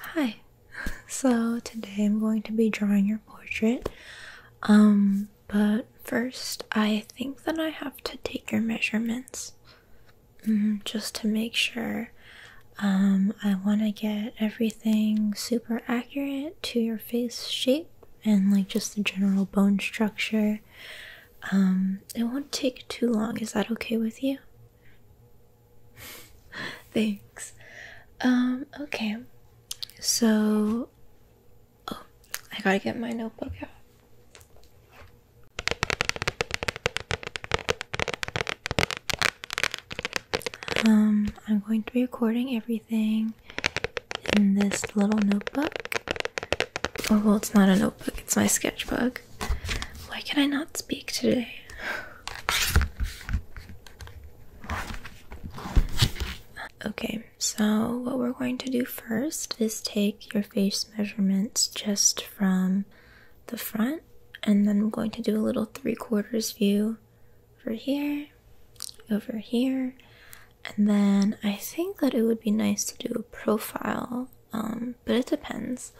Hi. So today I'm going to be drawing your portrait. Um, but first I think that I have to take your measurements. Mm-hmm, just to make sure. Um, I want to get everything super accurate to your face shape and like just the general bone structure. Um, it won't take too long. Is that okay with you? Thanks. Um, okay. So oh, I gotta get my notebook out. Um, I'm going to be recording everything in this little notebook. Oh, well, it's not a notebook, it's my sketchbook. Why can I not speak today? Okay, so what we're going to do first is take your face measurements just from the front, and then I'm going to do a little three quarters view over here, over here, and then I think that it would be nice to do a profile um, but it depends.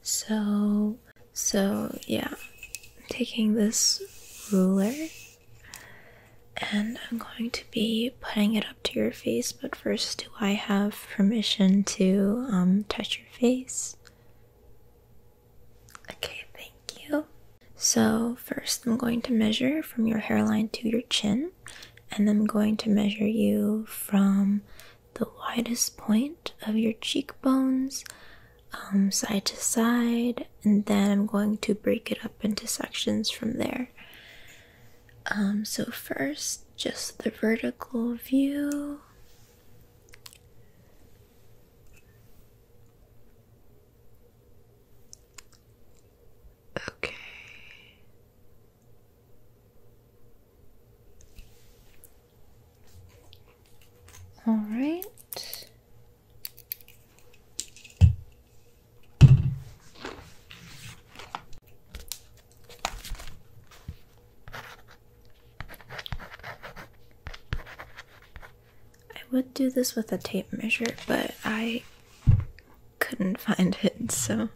So, so yeah, I'm taking this ruler and I'm going to be putting it up to your face. But first, do I have permission to um, touch your face? Okay, thank you. So, first, I'm going to measure from your hairline to your chin, and I'm going to measure you from the widest point of your cheekbones um, side to side, and then I'm going to break it up into sections from there. Um, so, first, just the vertical view. Okay. All right. I would do this with a tape measure, but I couldn't find it, so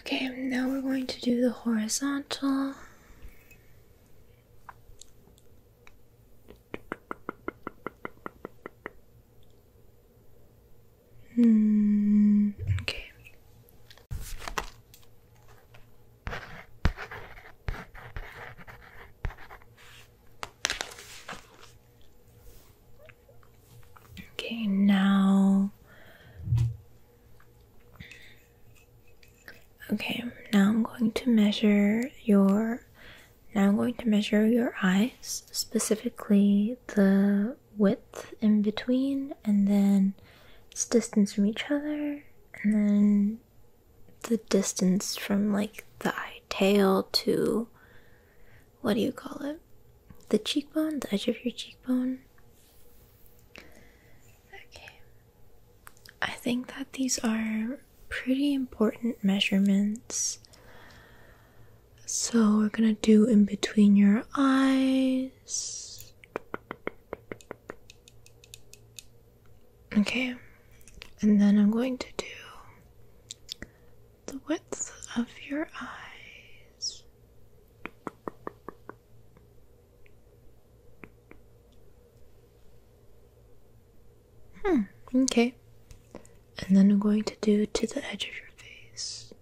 Okay, now we're going to do the horizontal. Mm, okay. Okay, now Okay, now I'm going to measure your now I'm going to measure your eyes, specifically the width in between and then its distance from each other and then the distance from like the eye tail to what do you call it? The cheekbone, the edge of your cheekbone. Okay, I think that these are pretty important measurements. So we're gonna do in between your eyes. Okay, and then I'm going to do the width of your eyes. Hmm, okay. And then I'm going to do to the edge of your face.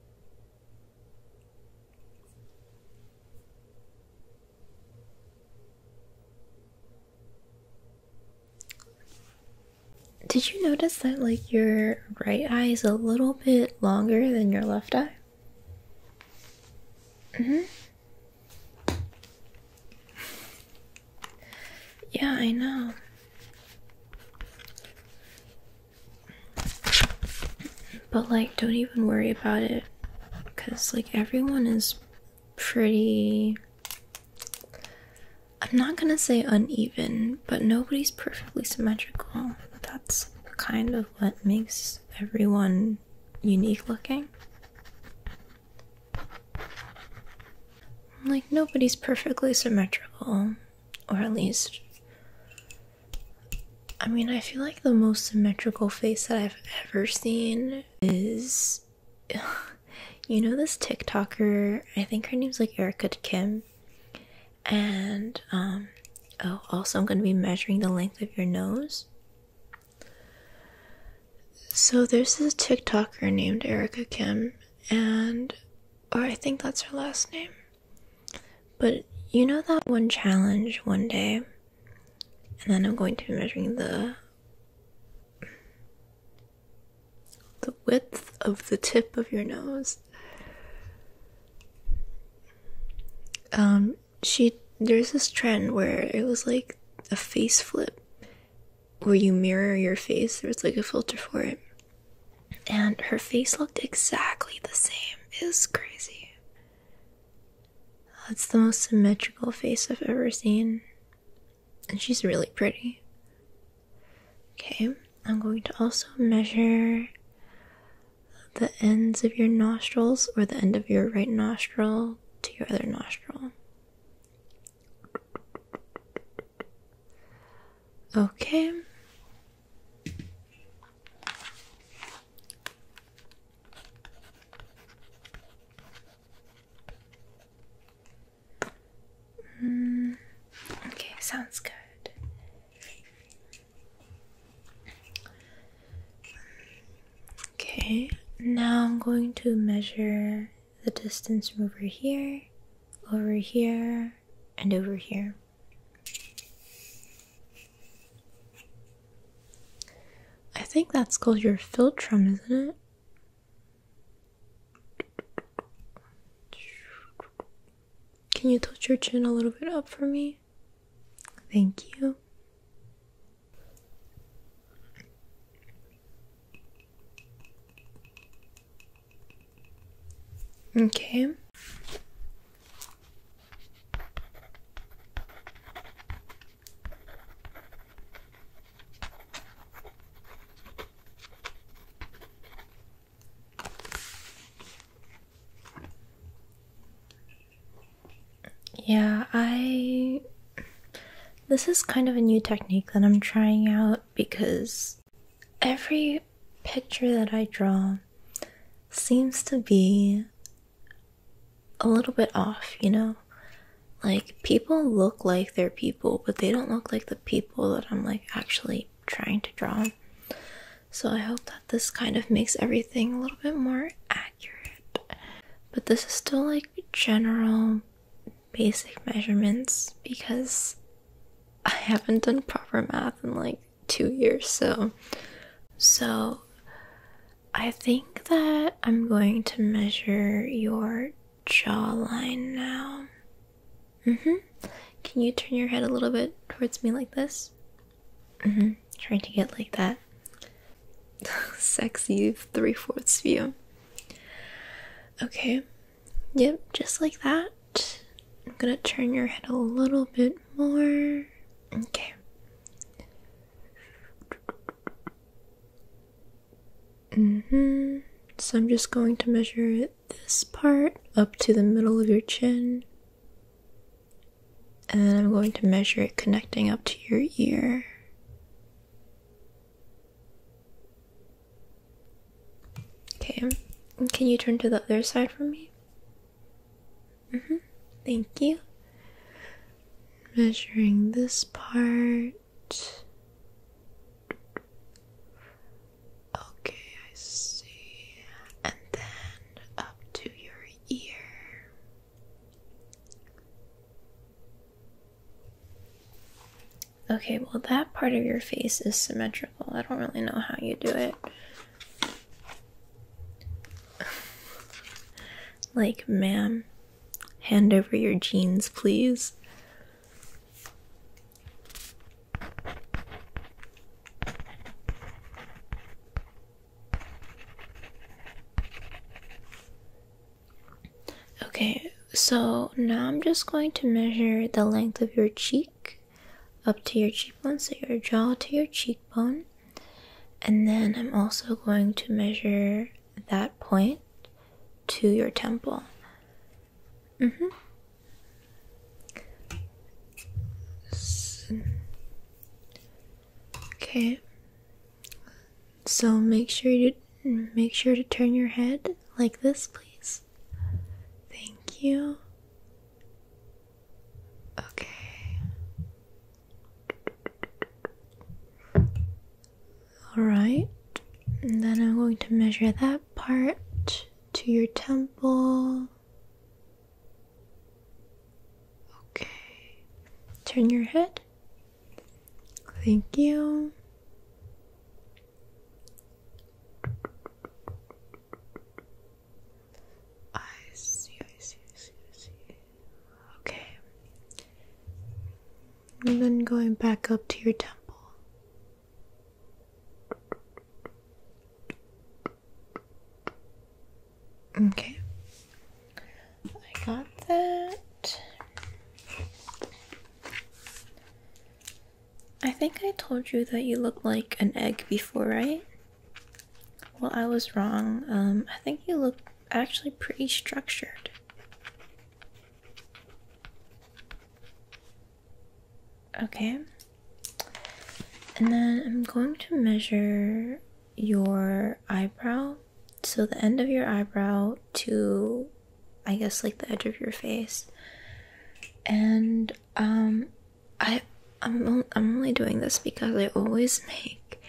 Did you notice that, like, your right eye is a little bit longer than your left eye? Mm hmm Yeah, I know. But, like, don't even worry about it. Because, like, everyone is pretty. I'm not gonna say uneven, but nobody's perfectly symmetrical. That's kind of what makes everyone unique looking. Like, nobody's perfectly symmetrical, or at least. I mean, I feel like the most symmetrical face that I've ever seen is. you know, this TikToker, I think her name's like Erica Kim. And um, oh, also, I'm going to be measuring the length of your nose. So, there's this TikToker named Erica Kim, and or I think that's her last name. But you know that one challenge one day, and then I'm going to be measuring the the width of the tip of your nose um, she there's this trend where it was like a face flip where you mirror your face, There's like a filter for it. And her face looked exactly the same. It was crazy. That's the most symmetrical face I've ever seen. And she's really pretty. Okay, I'm going to also measure the ends of your nostrils or the end of your right nostril to your other nostril. Okay. Hmm. okay, sounds good. Okay, now I'm going to measure the distance from over here, over here, and over here. I think that's called your philtrum, isn't it? Can you tilt your chin a little bit up for me? Thank you. Okay. Yeah, I. This is kind of a new technique that I'm trying out because every picture that I draw seems to be a little bit off, you know? Like, people look like their people, but they don't look like the people that I'm like actually trying to draw. So I hope that this kind of makes everything a little bit more accurate. But this is still like general basic measurements because I haven't done proper math in like 2 years so so I think that I'm going to measure your jawline now. Mm-hmm. Can you turn your head a little bit towards me like this? Mm-hmm. Trying to get like that sexy three-fourths view. Okay. Yep, just like that. I'm gonna turn your head a little bit more. Okay. Mm-hmm. So I'm just going to measure it this part up to the middle of your chin. And then I'm going to measure it connecting up to your ear. Okay, um, can you turn to the other side for me? Mm -hmm. Thank you. Measuring this part. Okay, I see. And then up to your ear. Okay, well, that part of your face is symmetrical. I don't really know how you do it. like, ma'am, hand over your jeans, please. Okay, so now I'm just going to measure the length of your cheek up to your cheekbone, so your jaw to your cheekbone, and then I'm also going to measure that point to your temple. Mm-hmm. Okay. So make sure you make sure to turn your head like this, please. Thank you. Okay. All right. And then I'm going to measure that part to your temple. Okay, turn your head. Thank you. I see, I see, I see, I see. Okay. And then going back up to your temple. Okay. I got that. I think I told you that you looked like an egg before, right? Well, I was wrong. Um, I think you look actually pretty structured. Okay. And then I'm going to measure your eyebrow. So the end of your eyebrow to I guess like the edge of your face. And um I I'm only, I'm only doing this because I always make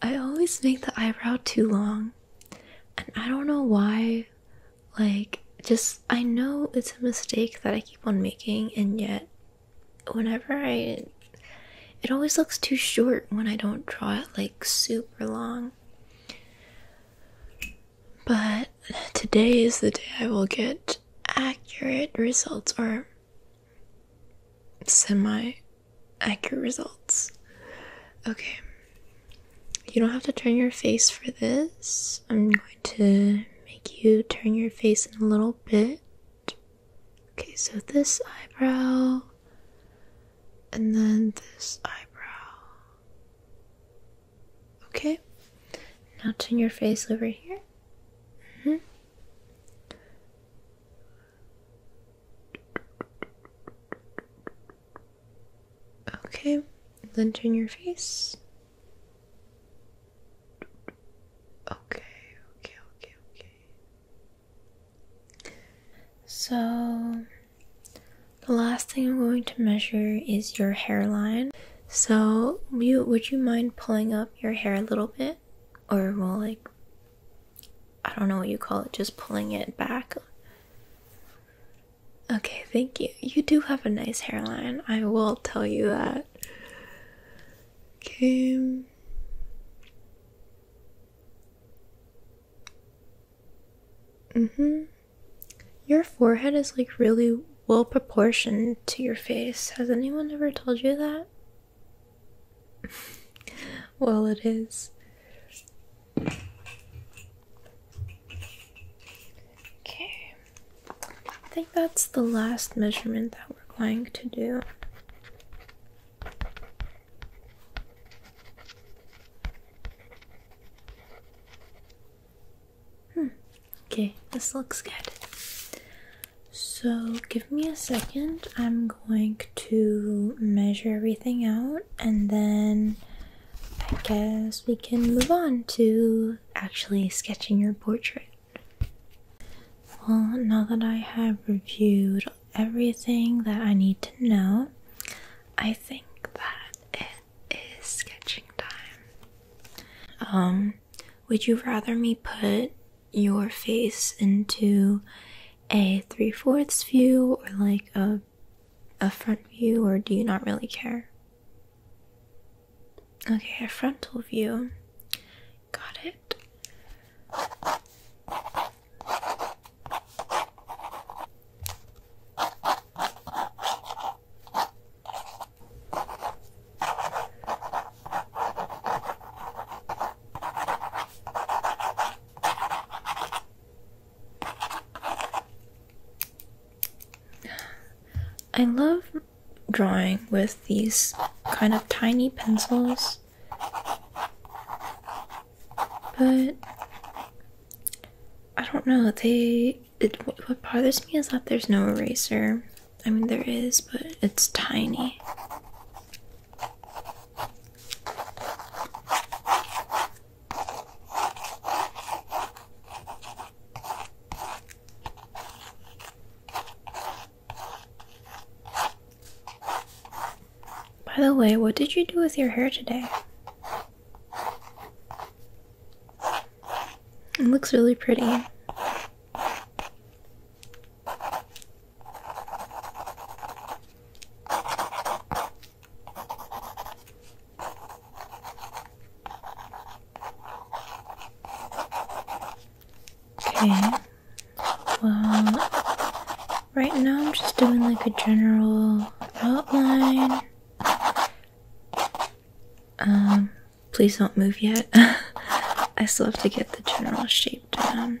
I always make the eyebrow too long. And I don't know why like, just I know it's a mistake that I keep on making, and yet, whenever I it always looks too short when I don't draw it like super long. But today is the day I will get accurate results or semi accurate results. Okay, you don't have to turn your face for this. I'm going to make you turn your face in a little bit. Okay, so this eyebrow and then this eyebrow. Okay, now turn your face over here. Mm-hmm. Okay, then turn your face. Okay, okay, okay, okay. So, the last thing I'm going to measure is your hairline. So, would you mind pulling up your hair a little bit? Or, more like, I don't know what you call it, just pulling it back. Okay, thank you. You do have a nice hairline. I will tell you that. Okay. Mm-hmm. Your forehead is like really well proportioned to your face. Has anyone ever told you that? well, it is. Okay, I think that's the last measurement that we're going to do. Hmm. Okay, this looks good. So, give me a second. I'm going to measure everything out and then I guess we can move on to actually sketching your portrait. Well, now that I have reviewed everything that I need to know, I think that it is sketching time. Um, would you rather me put your face into a three-fourths view or like a a front view, or do you not really care? Okay, a frontal view. Got it. I love drawing with these kind of tiny pencils, but I don't know. They what bothers me is that there's no eraser. I mean, there is, but it's tiny. By the way, what did you do with your hair today? It looks really pretty. Okay. Well, right now I'm just doing like a general outline. Um, please don't move yet. I still have to get the general shape down.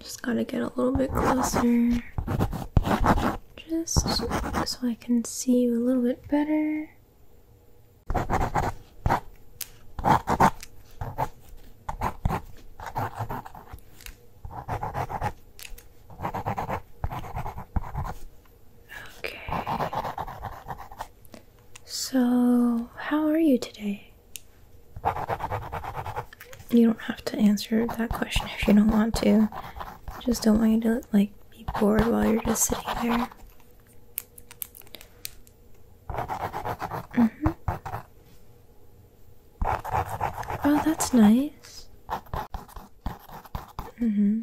Just gotta get a little bit closer. Just so I can see you a little bit better. Okay. So, how are you today? You don't have to answer that question if you don't want to. just don't want you to like be bored while you're just sitting there. Mm -hmm. Oh, that's nice. Mm-hmm.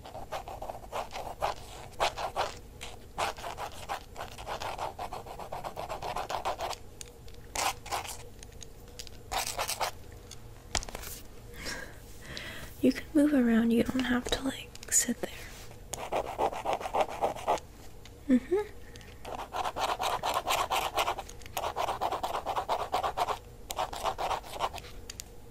you can move around, you don't have to like sit there. Mm hmm.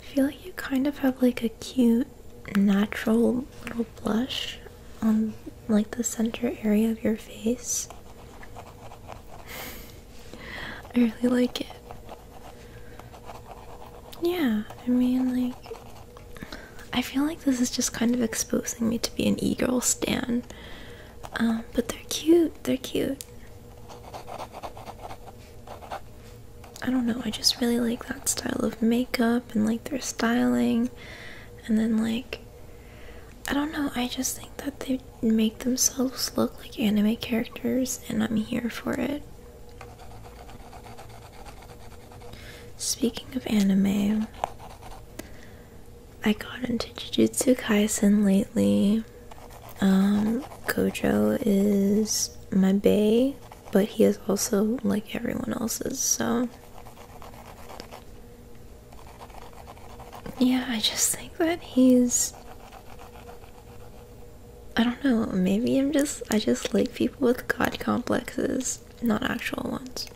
I feel like you kind of have like a cute natural little blush on like the center area of your face. I really like it. Yeah, I mean, like, I feel like this is just kind of exposing me to be an e girl stan. Um, but they're cute, they're cute. I don't know, I just really like that style of makeup and like their styling. And then, like, I don't know, I just think that they make themselves look like anime characters, and I'm here for it. Speaking of anime, I got into Jujutsu Kaisen lately. Kojo um, is my bay, but he is also like everyone else's, so. Yeah, I just think that he's. I don't know, maybe I'm just. I just like people with god complexes, not actual ones.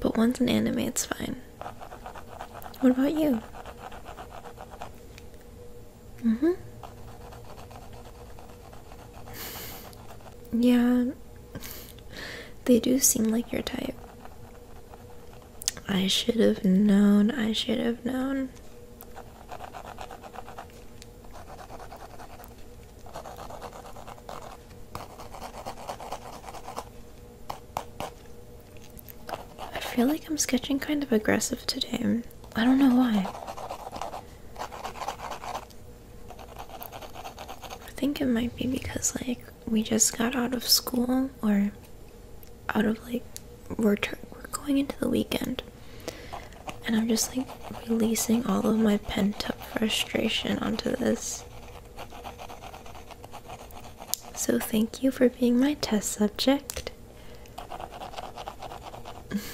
But once in anime, it's fine. What about you? Mm hmm. Yeah, they do seem like your type. I should have known, I should have known. I feel like I'm sketching kind of aggressive today. I don't know why. I think it might be because, like, we just got out of school or out of, like, we're, we're going into the weekend. And I'm just, like, releasing all of my pent up frustration onto this. So thank you for being my test subject.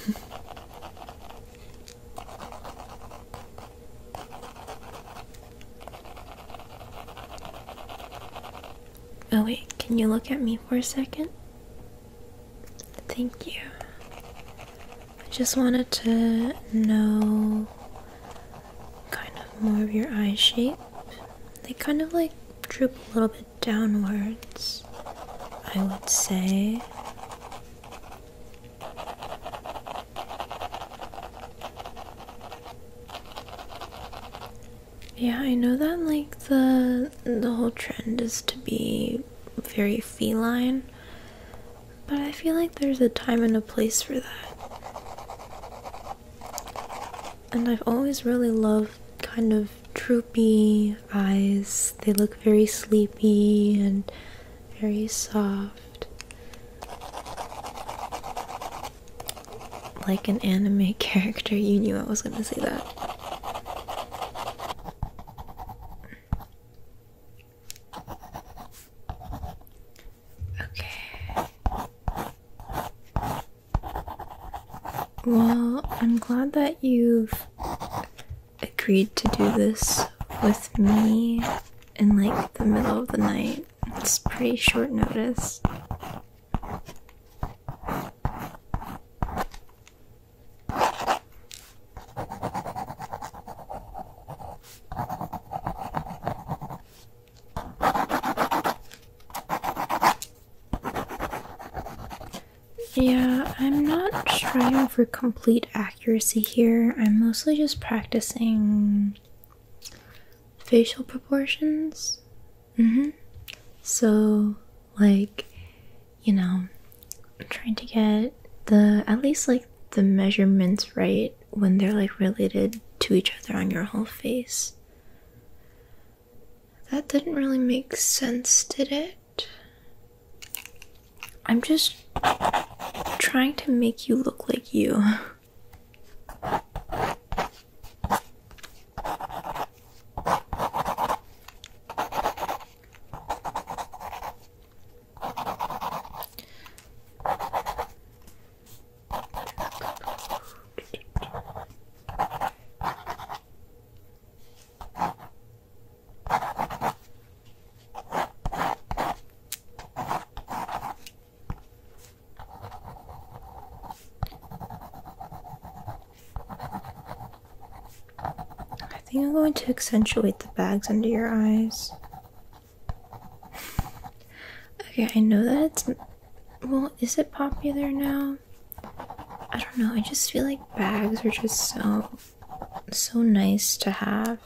oh, wait, can you look at me for a second? Thank you. I just wanted to know kind of more of your eye shape they kind of like droop a little bit downwards, I would say. Yeah, I know that like the the whole trend is to be very feline, but I feel like there's a time and a place for that. And I've always really loved kind of droopy eyes. They look very sleepy and very soft. Like an anime character, you knew I was gonna say that. Okay. Well, I'm glad that you've agreed to do this with me in like the middle of the night. It's pretty short notice. Yeah, I'm not striving for complete accuracy here. I'm mostly just practicing facial proportions. Mm-hmm. So, like, you know, trying to get the at least like the measurements right when they're like related to each other on your whole face. That didn't really make sense, did it? I'm just trying to make you look like you. I think I'm going to accentuate the bags under your eyes. Okay, I know that it's. Well, is it popular now? I don't know. I just feel like bags are just so so nice to have.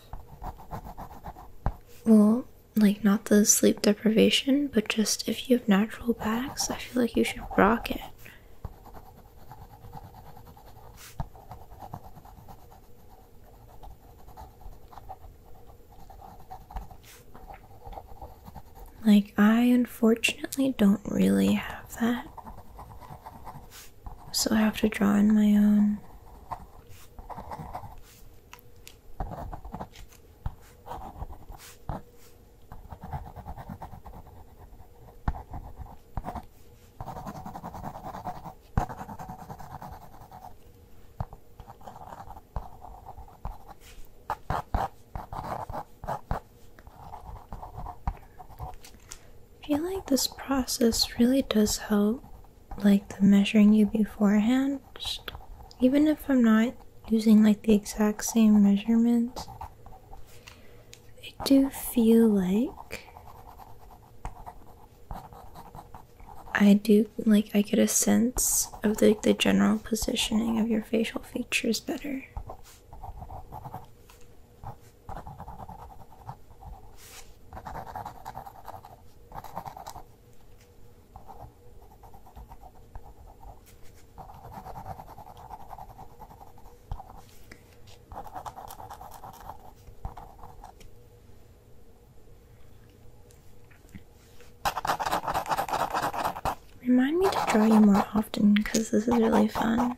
Well, like not the sleep deprivation, but just if you have natural bags, I feel like you should rock it. Like, I unfortunately don't really have that. So I have to draw in my own. I feel like this process really does help, like the measuring you beforehand. even if I'm not using like the exact same measurements, it do feel like I do like I get a sense of the, the general positioning of your facial features better. Remind me to draw you more often because this is really fun.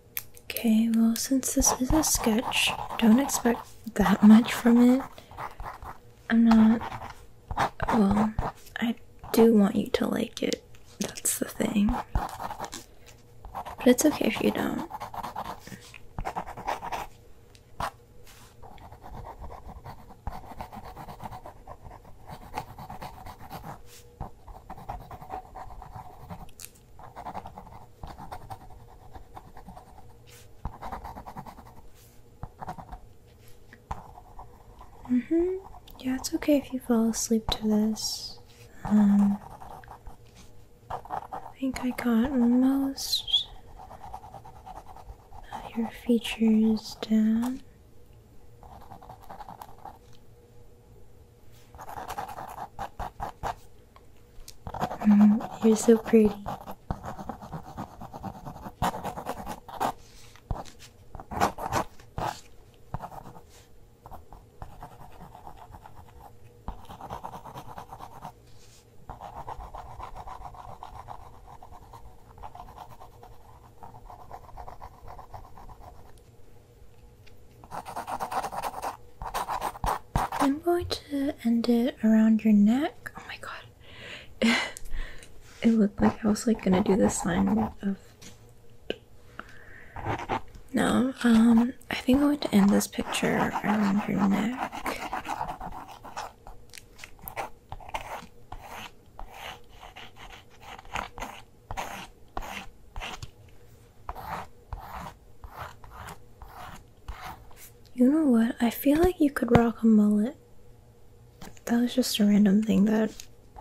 Okay, well, since this is a sketch, don't expect that much from it. I'm not. Well, I do want you to like it. That's the thing. But it's okay if you don't. Mm-hmm. Yeah, it's okay if you fall asleep to this. Um, I think I got most of your features down. Mm, you're so pretty. I'm going to end it around your neck. Oh my god. it looked like I was like gonna do this line of no, um, I think I'm going to end this picture around your neck. You know what? I feel like you could rock a mullet. That was just a random thing that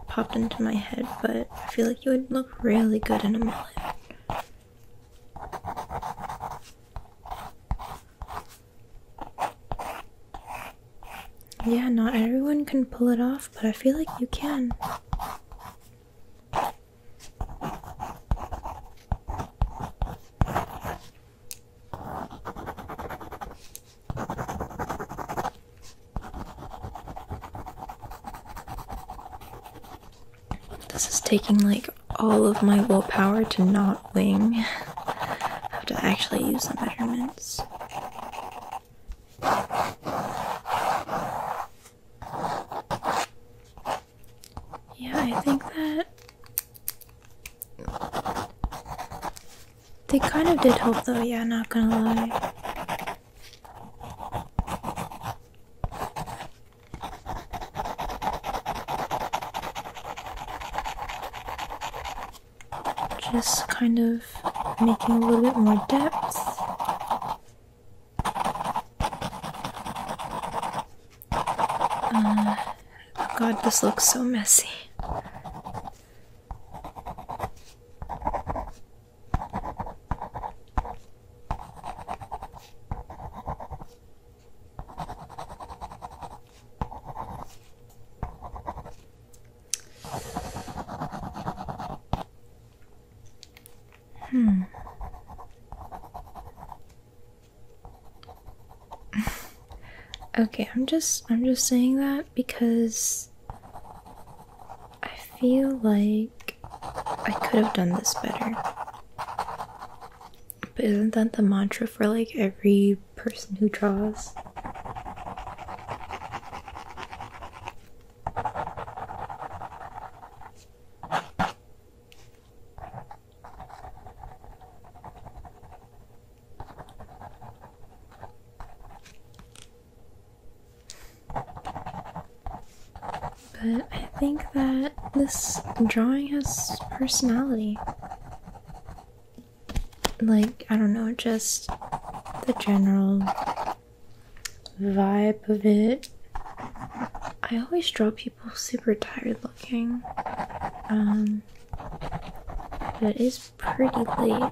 popped into my head, but I feel like you would look really good in a mullet. Yeah, not everyone can pull it off, but I feel like you can. This is taking like all of my willpower to not wing. have to actually use the measurements. Yeah, I think that they kind of did help though, yeah, not gonna lie. Just kind of making a little bit more depth. Uh, God, this looks so messy. Hmm. okay, I'm just I'm just saying that because I feel like I could have done this better. But isn't that the mantra for like every person who draws? But I think that this drawing has personality. Like, I don't know, just the general vibe of it. I always draw people super tired looking. Um, but it is pretty late.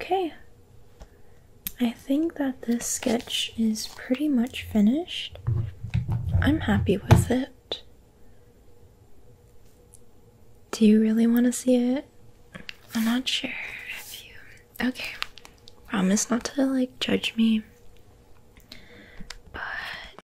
Okay, I think that this sketch is pretty much finished. I'm happy with it. Do you really want to see it? I'm not sure if you. Okay, promise not to like judge me. But